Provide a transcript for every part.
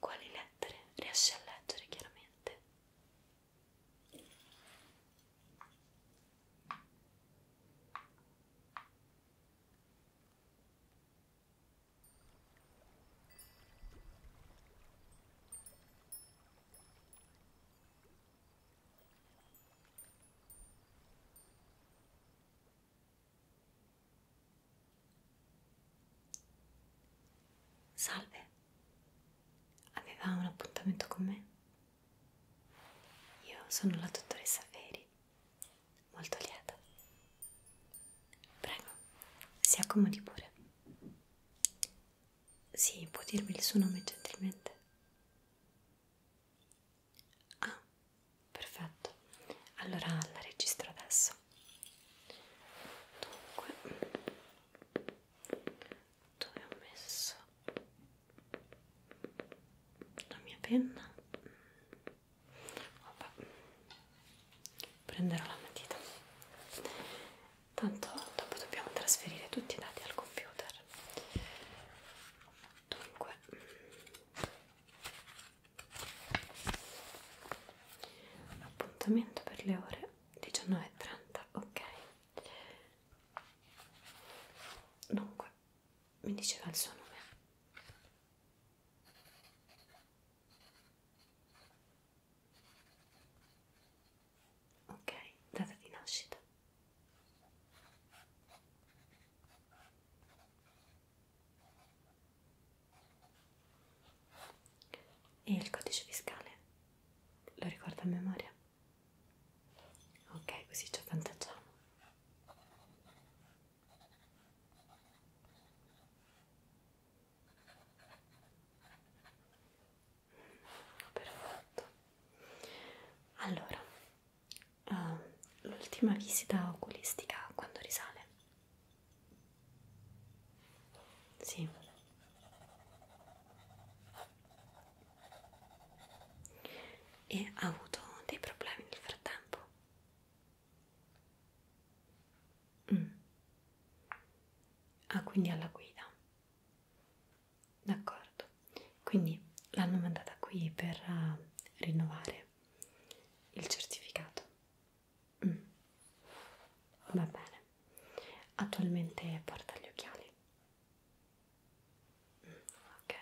Quali lettere riesci a leggere chiaramente? Salve, aveva un appuntamento con me? Io sono la dottoressa Feri molto lieta. Prego, si accomodi pure. Sì, può dirmi il suo nome gentilmente? Ah, perfetto. Allora la registro adesso. Dunque, dove ho messo? la mia penna Vabbè. prenderò la matita tanto dopo dobbiamo trasferire tutti i dati al computer dunque appuntamento per le ore 19.30 ok dunque mi diceva il suo nome. Ok, data di nascita. E il codice fiscale? Lo ricorda a memoria? ok così ci avvantaggiamo mm, perfetto allora uh, l'ultima visita oculistica quando risale sì e ha avuto dei problemi nel frattempo mm. ah quindi alla guida d'accordo quindi l'hanno mandata qui per uh, rinnovare il certificato mm. va bene attualmente porta gli occhiali Ok.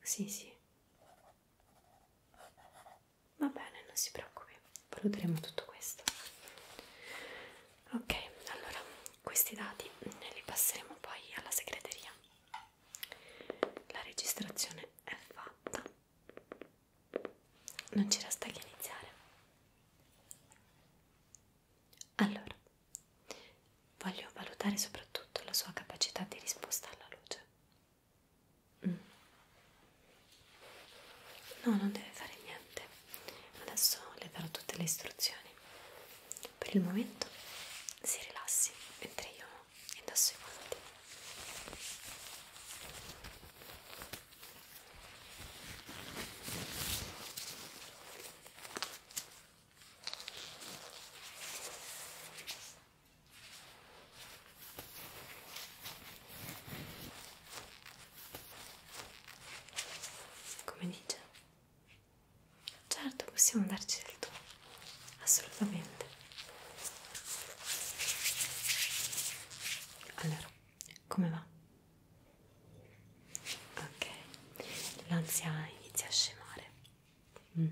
Sì, sì. Va bene, non si preoccupi, valuteremo tutto questo. Ok, allora questi dati li passeremo poi alla segreteria. La registrazione è fatta. Non ci resta che iniziare. Allora, voglio valutare soprattutto la sua capacità di risposta alla luce. Mm. No, non deve fare niente. Adesso le darò tutte le istruzioni. Per il momento si rilassi mentre io indosso i guanti. Come dice? Certo, possiamo darci del tuo, assolutamente. Allora, come va? ok l'ansia inizia a scemare mm.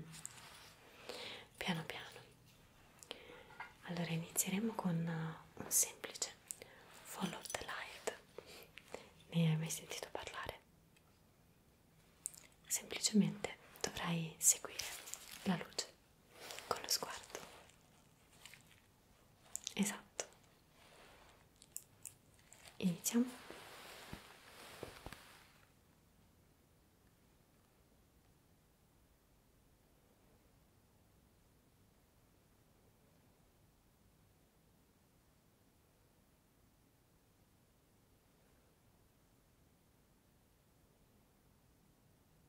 piano piano allora inizieremo con uh, un semplice follow the light ne hai mai sentito parlare? semplicemente dovrai seguire la luce con lo sguardo esatto iniziamo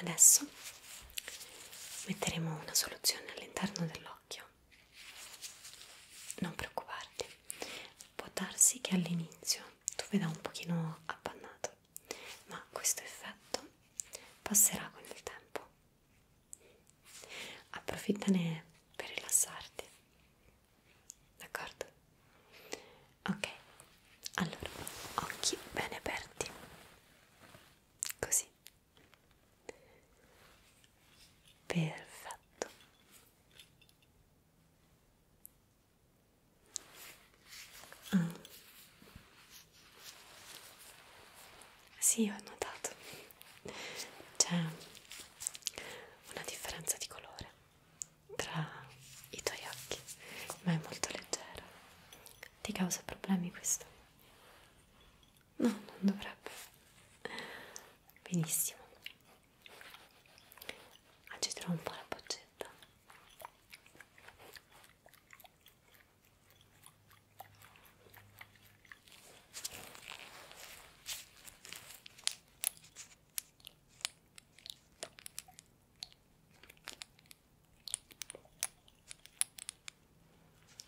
Adesso metteremo una soluzione all'interno dell'occhio. Non preoccuparti, può darsi che all'inizio tu veda un pochino appannato, ma questo effetto passerà con il tempo. Approfittane per rilassarti d'accordo? Ok, allora occhi bene aperti, così, perfetto. Mm. Sì, ho notato, c'è una differenza di colore tra i tuoi occhi, ma è molto leggero. Ti causa problemi questo? No, non dovrebbe. Benissimo. Agiterò ah, un po' la boccetta.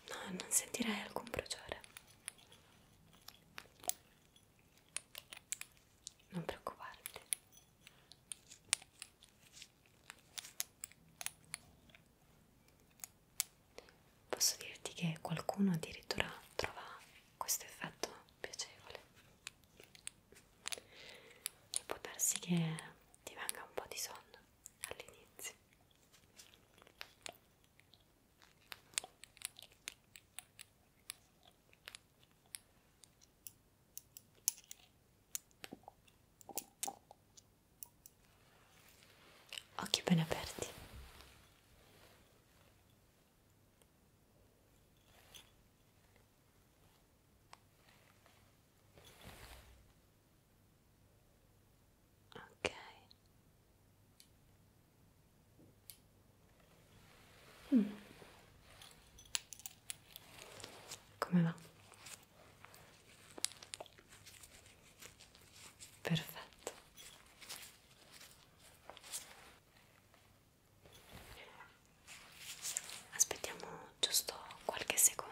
No, non sentirei alcun bruciore. Non preoccuparti posso dirti che qualcuno addirittura trova questo effetto piacevole e può darsi che ti venga un po' di sonno all'inizio Occhi ben aperti, Ok. Mm. Come va? Perfetto. Aspettiamo giusto qualche secondo.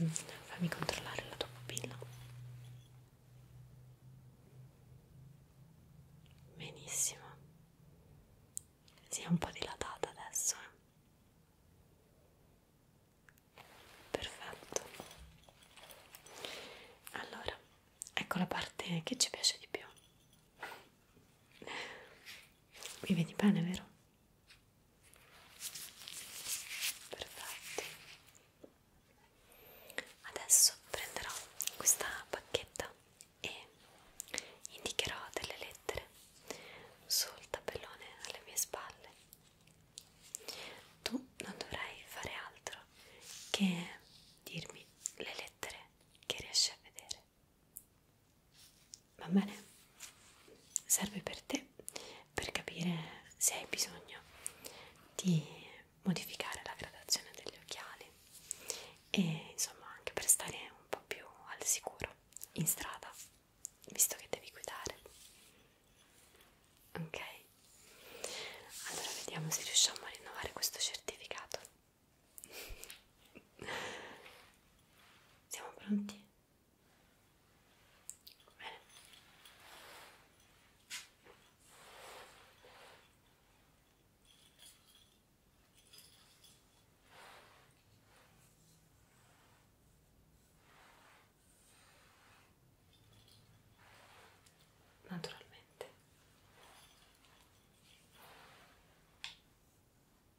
Mm, fammi controllare la tua pupilla. Benissimo. Si è un po' dilatata adesso. Eh? Perfetto. Allora, ecco la parte che ci piace di più. Mi vedi bene, vero? perfetto adesso prenderò questa bacchetta e indicherò delle lettere sul tabellone alle mie spalle tu non dovrai fare altro che dirmi le lettere che riesci a vedere va bene? Serve per te per capire se hai bisogno di modificare la gradazione degli occhiali e insomma anche per stare un po' più al sicuro in strada visto che devi guidare ok allora vediamo se riusciamo a rinnovare questo certificato siamo pronti Bene. Naturalmente.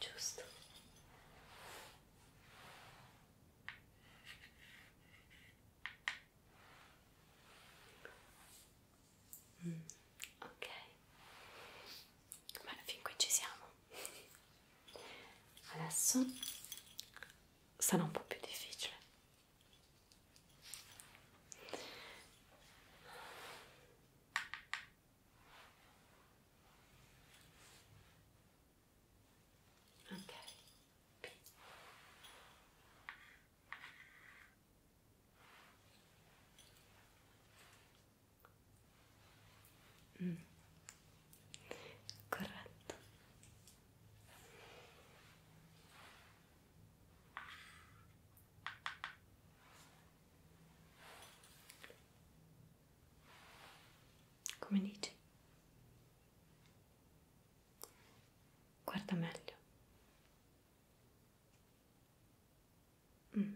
giusto mm, ok bene fin qui ci siamo adesso sarà un po' più difficile ok mm. corretto come dici? Guarda meglio. Mm.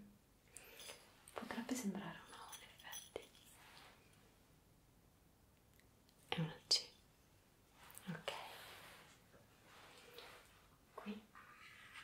Potrebbe sembrare una O in effetti. È una C. Ok. Qui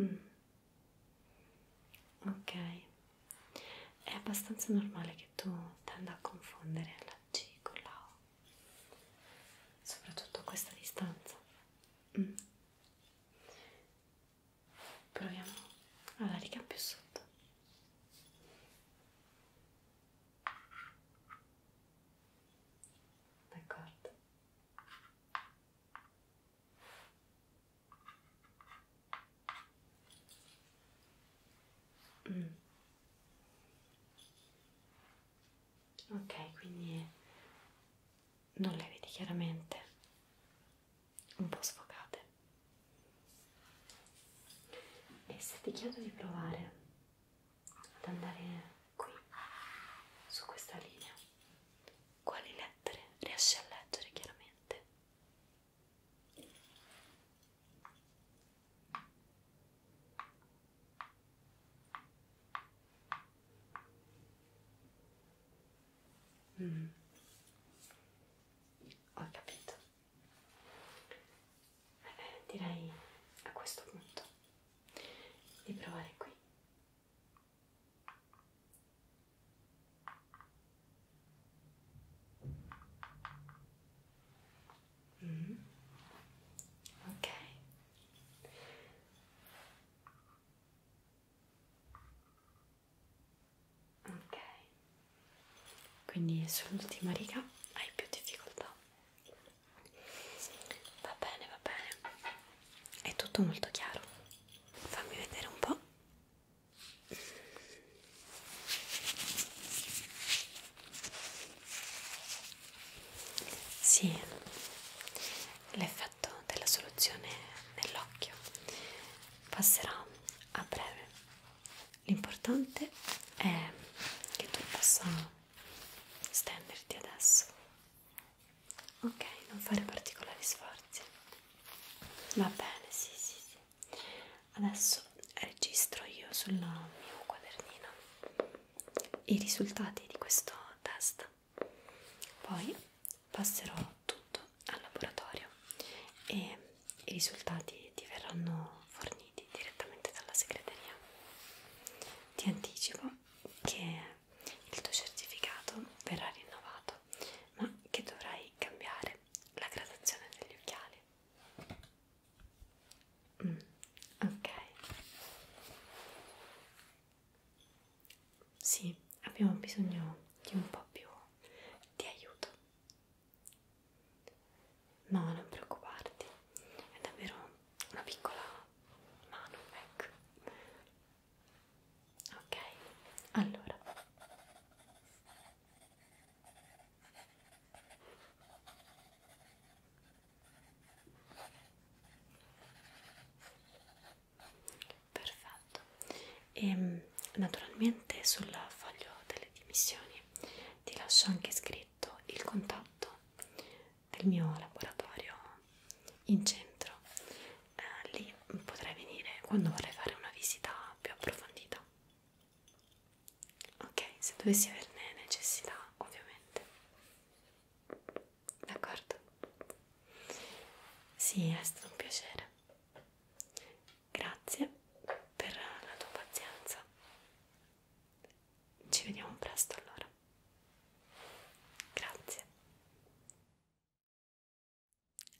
Mm. Ok, è abbastanza normale che tu tenda a confondere la C con la O, soprattutto a questa distanza. Mm. Proviamo alla riga più sotto d'accordo mm. ok quindi non le vedi chiaramente un po' sfocate e se ti chiedo di provare ad andare qui, su questa linea, quali lettere riesci a leggere chiaramente? Mm. Ho capito. Vabbè, eh, direi a questo punto di provare qui. Mm. Ok ok quindi sull'ultima riga hai più difficoltà va bene va bene è tutto molto chiaro fammi vedere un po' sì, l'effetto della soluzione nell'occhio passerà a breve l'importante è che tu possa stenderti adesso ok non fare particolari sforzi va bene sì sì sì adesso registro io sul mio quadernino i risultati di questo test poi passerò tutto tutto al laboratorio e i risultati ti verranno forniti direttamente dalla segreteria. Ti anticipo che il tuo certificato verrà rinnovato, ma che dovrai cambiare la gradazione degli occhiali. Mm, ok. Sì, abbiamo bisogno di un po' più di aiuto No, non preoccuparti, è davvero una piccola mano, ecco. Ok, allora perfetto e ehm, naturalmente sul foglio delle dimissioni ti lascio anche scritto il contatto del mio laboratorio in centro eh, lì potrai venire quando vorrai fare una visita più approfondita ok se dovessi averne necessità ovviamente d'accordo sì è stato un piacere Grazie per la tua pazienza. Ci vediamo presto allora. Grazie.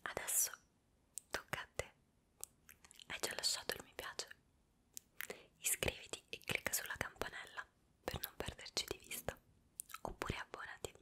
Adesso tocca a te. Hai già lasciato il mi piace? Iscriviti e clicca sulla campanella per non perderci di vista. Oppure abbonati